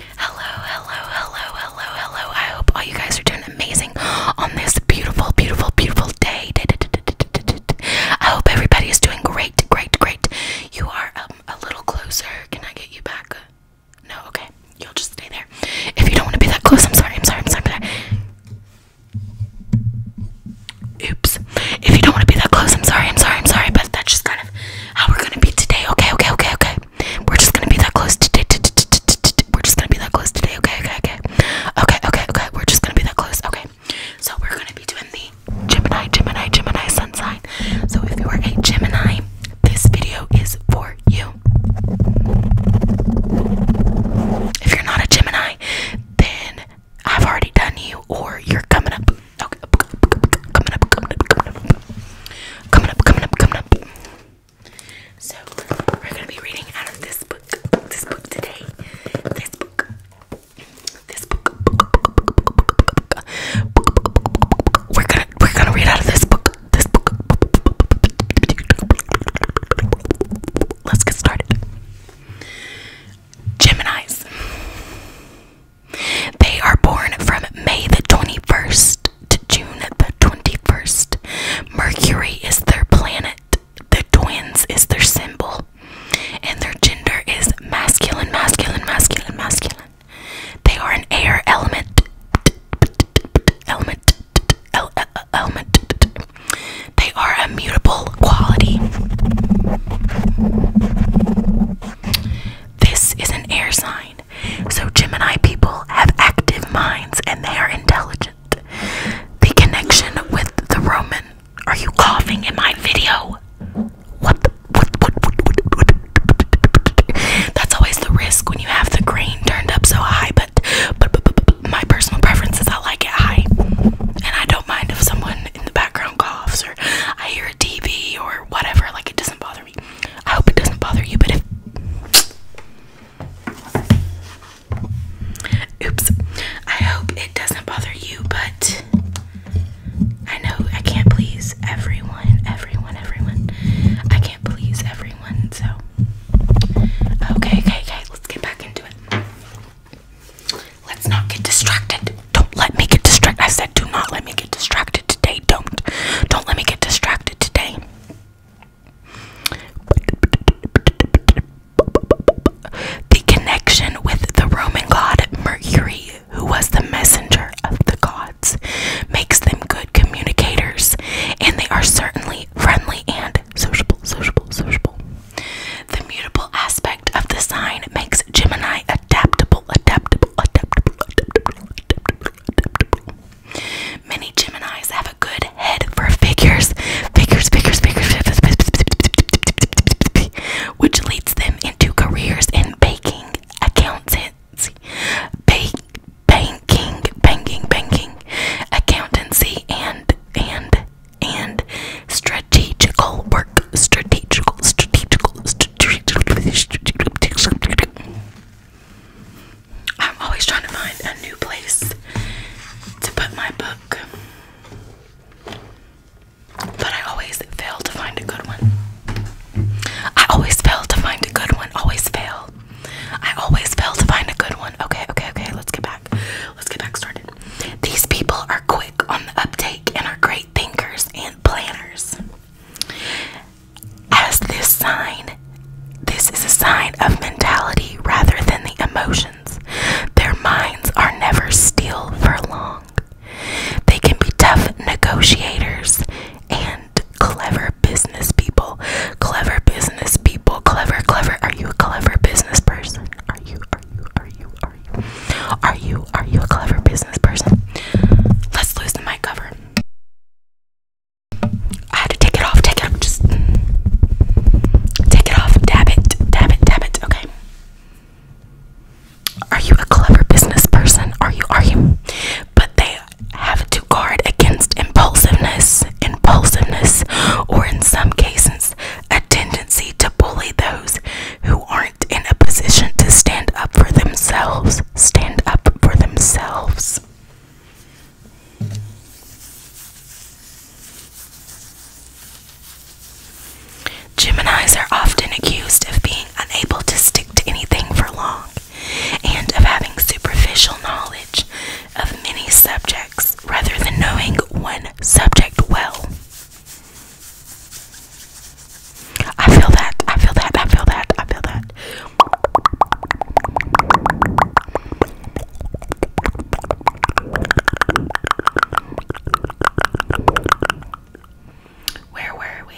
Hello, hello, hello, hello, hello. I hope all you guys are doing amazing on this beautiful, beautiful, beautiful day. I hope everybody is doing great, great, great. You are um, a little closer. Can I get you back? No, okay. You'll just stay there. If you don't want to be that close, I'm sorry, I'm sorry, I'm sorry. I'm Oops. If you don't want to be that close, I'm sorry, I'm sorry, I'm sorry, but that's just kind of how we're going to be today. Okay, okay, okay, okay. We're just gonna be that close today. We're just gonna be that close today. Okay, okay, okay. Okay, okay, okay. We're just gonna be that close. Okay. So we're gonna be doing the Gemini, Gemini, Gemini sun sign. So if you are a Gemini, this video is for you. If you're not a Gemini, then I've already done you or you're coming up. Okay. Coming up, coming up, coming up, coming up coming up, coming up, coming up. So we're gonna be reading out of this book, this book today, this book, this book. We're gonna we're gonna read out of this book, this book. Let's get started. Gemini's. They are born from May the 21st to June the 21st. Mercury is their planet, the twins is their symbol, and their gender is masculine, masculine, masculine, masculine. They are an air element. Element. Element. They are a mutable quality. This is an air sign. So, Gemini people have active minds and they are intelligent. The connection with the Roman. Are you coughing in my video? What, the, what, what, what, what, what? That's always the risk when you have the green turned up so high, but, but, but, but, but my personal preference is I like it high. And I don't mind if someone in the background coughs or I hear a TV or whatever, like it doesn't bother I hope it doesn't bother you, but Oops. I hope it doesn't bother you, but I know I can't please everyone, everyone, everyone. I can't please everyone, so Okay, okay, okay, let's get back into it. Let's not get distracted. Don't let me get distracted. I said do not let me get distracted today. Don't. Don't let me get distracted today. The connection with the Roman god Mercury, who was the messenger of the gods, makes them good communicators, and they are certainly friendly and sociable, sociable, sociable. The mutable aspect of the sign makes Gemini adaptable, adaptable, adaptable, adaptable, Many Geminis have a good head for figures, figures, figures, figures, which leads them into careers in baking, accountancy, bank, banking, banking, banking, accountancy, and and and strategical work, strategical, strategical, strategical I'm always trying to find a new place to put my book, but I always fail to find a good one. I always fail to find a good one. Always fail. I always fail to find a good one. Okay, okay, okay. Let's get back. Let's get back started. These people are quick on the uptake and are great thinkers and planners. As this sign, this is a sign of mentality rather than the emotions. Their minds are never still for long. They can be tough negotiators and clever business people. Clever business people. Clever, clever. Are you a clever business person? Are you, are you, are you, are you? Are you are you a clever business person? Let's loosen my cover. I had to take it off. Take it off. Just take it off. Dab it. Dab it. Dab it. Okay. Are you a clever business person? Are you? Are you? But they have to guard against impulsiveness, impulsiveness, or in some cases, a tendency to bully those who aren't in a position to stand up for themselves stand up for themselves. Geminis are often accused of being unable to stick to anything for long and of having superficial knowledge of many subjects rather than knowing one subject well. I feel that. I feel that. I feel that. I feel that. Where were we?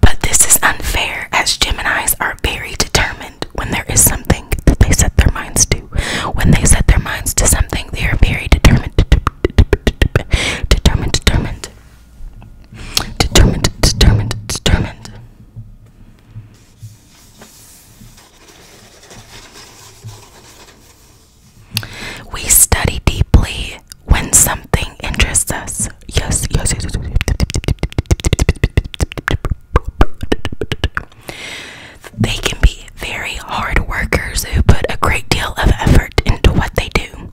But this is unfair as Geminis are very determined when there is something that they set their minds to. When they set their minds to something, they are very determined to, determined, determined, determined, determined, determined. We study deeply when something interests us. Yes, yes, yes, They can be very hard workers who put a great deal of effort into what they do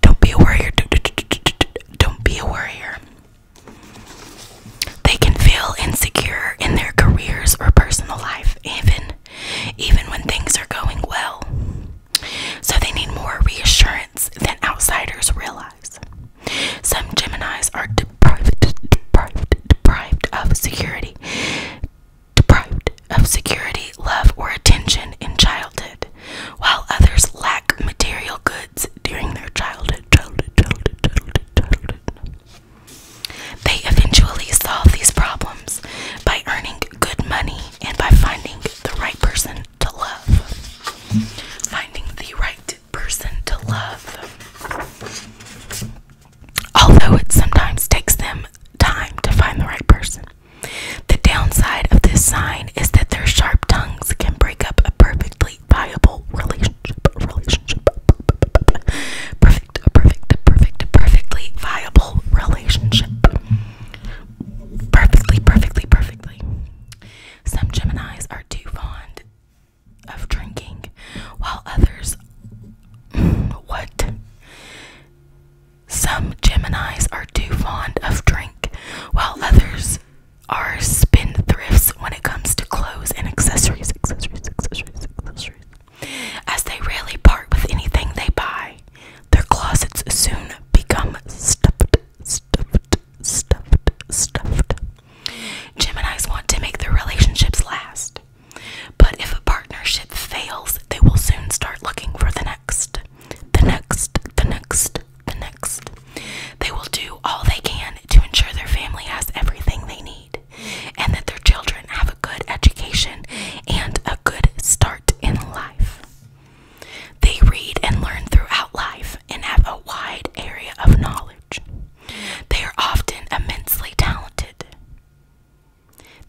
Don't be a worrier. Don't be a worrier. They can feel insecure in their careers or personal life, even even when things are going well. So they need more reassurance than outsiders realize. Some Geminis are deprived deprived deprived of security deprived of security, love, or attention in childhood, while others lack material goods during their childhood. They eventually solve these problems by earning good money and by finding the right person to love. Finding the right person to love. Although it sometimes takes them time to find the right person. The downside of this sign is that their sharp tongues can break up a perfectly viable relationship. Relationship. Perfect, perfect, perfectly viable relationship. Perfectly, perfectly, perfectly. Some Geminis are too fond of drinking, while others. What? Some Geminis are too fond of drink, while others are spendthrifts when it comes to clothes and accessories, accessories, accessories, accessories. As they rarely part with anything they buy, their closets soon become stuffed, stuffed, stuffed, stuffed. Geminis want to make their relationships last, but if a partnership fails, they will soon start looking for the next the next, the next, the next. They will do all they can to ensure their family has everything they need and that their children have a good education and a good start in life. They read and learn throughout life and have a wide area of knowledge. They are often immensely talented.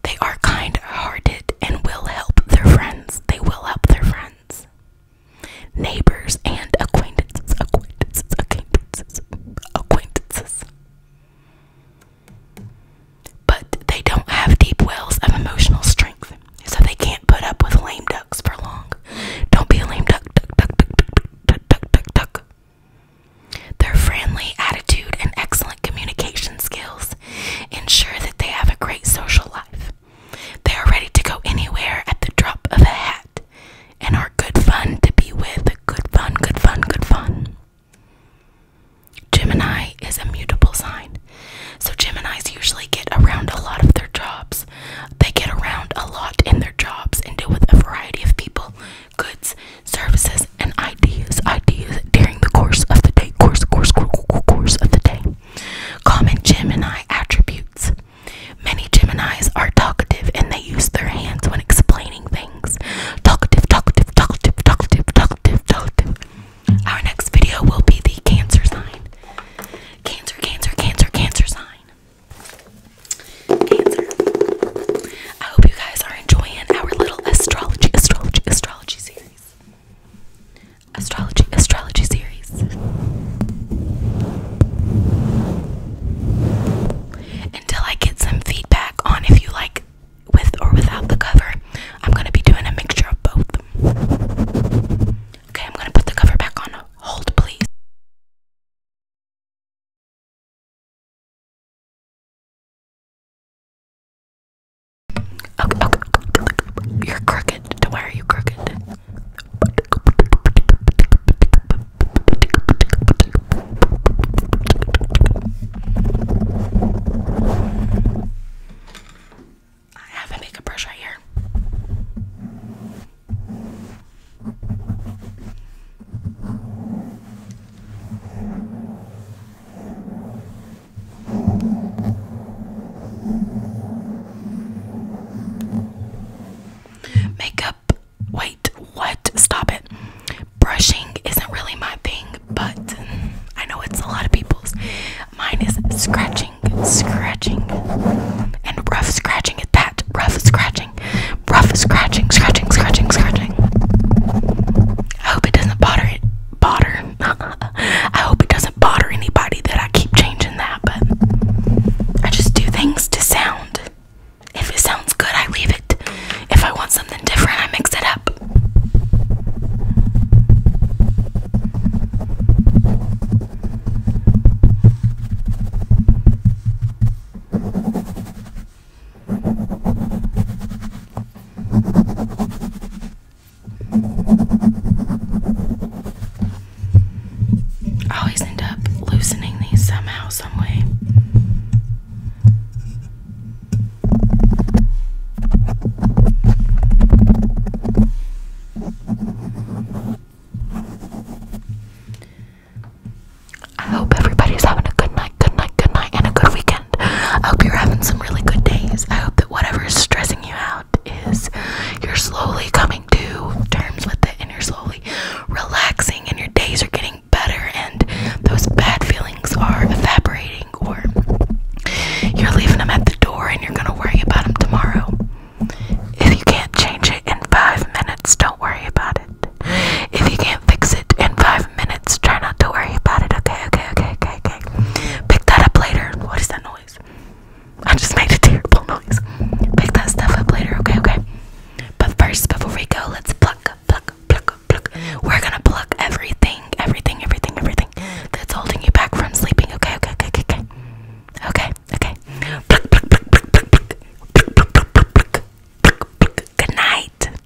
They are kind hearted and will help their friends. They will help their friends. Neighbors and acquaintances, acquaintances, acquaintances, acquaintances. But they don't have deep wells of emotional strength, so they can't put up with lame ducks for long. Don't be a lame duck, duck, duck, duck, duck, duck, duck, duck, duck. Their friendly attitude and excellent communication skills Ensure that they have a great social life. They are ready to go anywhere at the drop of a hat and are good fun to be with. Good fun, good fun, good fun. Gemini is a mutable sign. So, Geminis usually get around a lot of their jobs. They get around a lot in their jobs and deal with a variety of people, goods, services, and ideas, ideas during the course of the day, course, course, course, course of the day. Common Gemini attributes. Many Geminis are talkative and they use their hands when explaining things. Talkative, talkative, talkative, talkative, talkative, talkative. Our next video will be the Cancer sign. Cancer, Cancer, Cancer, Cancer sign. Cancer. I hope you guys are enjoying our little astrology, astrology, astrology series. Astrology, astrology series. Until I get some feedback on if you like with or without the cover, I'm gonna be doing a mixture of both. Okay, I'm gonna put the cover back on hold, please you're crooked. Why are you crooked? I have a makeup brush right here. Makeup. Wait, what? Stop it. Brushing isn't really my thing, but I know it's a lot of people's. Mine is scratching, scratching, and rough scratching at that. Rough scratching, rough scratching, scratching, scratching, scratching. I hope it doesn't bother bother. I hope it doesn't bother anybody that I keep changing that, but I just do things to sound. If it sounds good, I leave it. If I want something different, I mix it up. I always end up loosening these somehow, some way. I hope everybody's having a good night good night, good night, and a good weekend. I hope you're having some really good days. I hope that whatever is stressing you out is you're slowly coming to terms with it and you're slowly relaxing and your days are getting better and those bad feelings are evaporating or you're leaving them at the door and you're gonna worry about them tomorrow. If you can't change it in five minutes, don't worry about it. If you can't fix it in five minutes, try not not to worry about it. Okay, okay, okay, okay, okay. Pick that up later. What is that noise? I just made a terrible noise. Pick that stuff up later, okay, okay. But first, before we go, let's pluck, pluck, pluck, pluck. We're gonna pluck everything, everything, everything, everything that's holding you back from sleeping. Okay, okay, okay, okay, okay. Okay, okay. Pluck, pluck, pluck, pluck, pluck, pluck, pluck, pluck, pluck, pluck, pluck. Good night.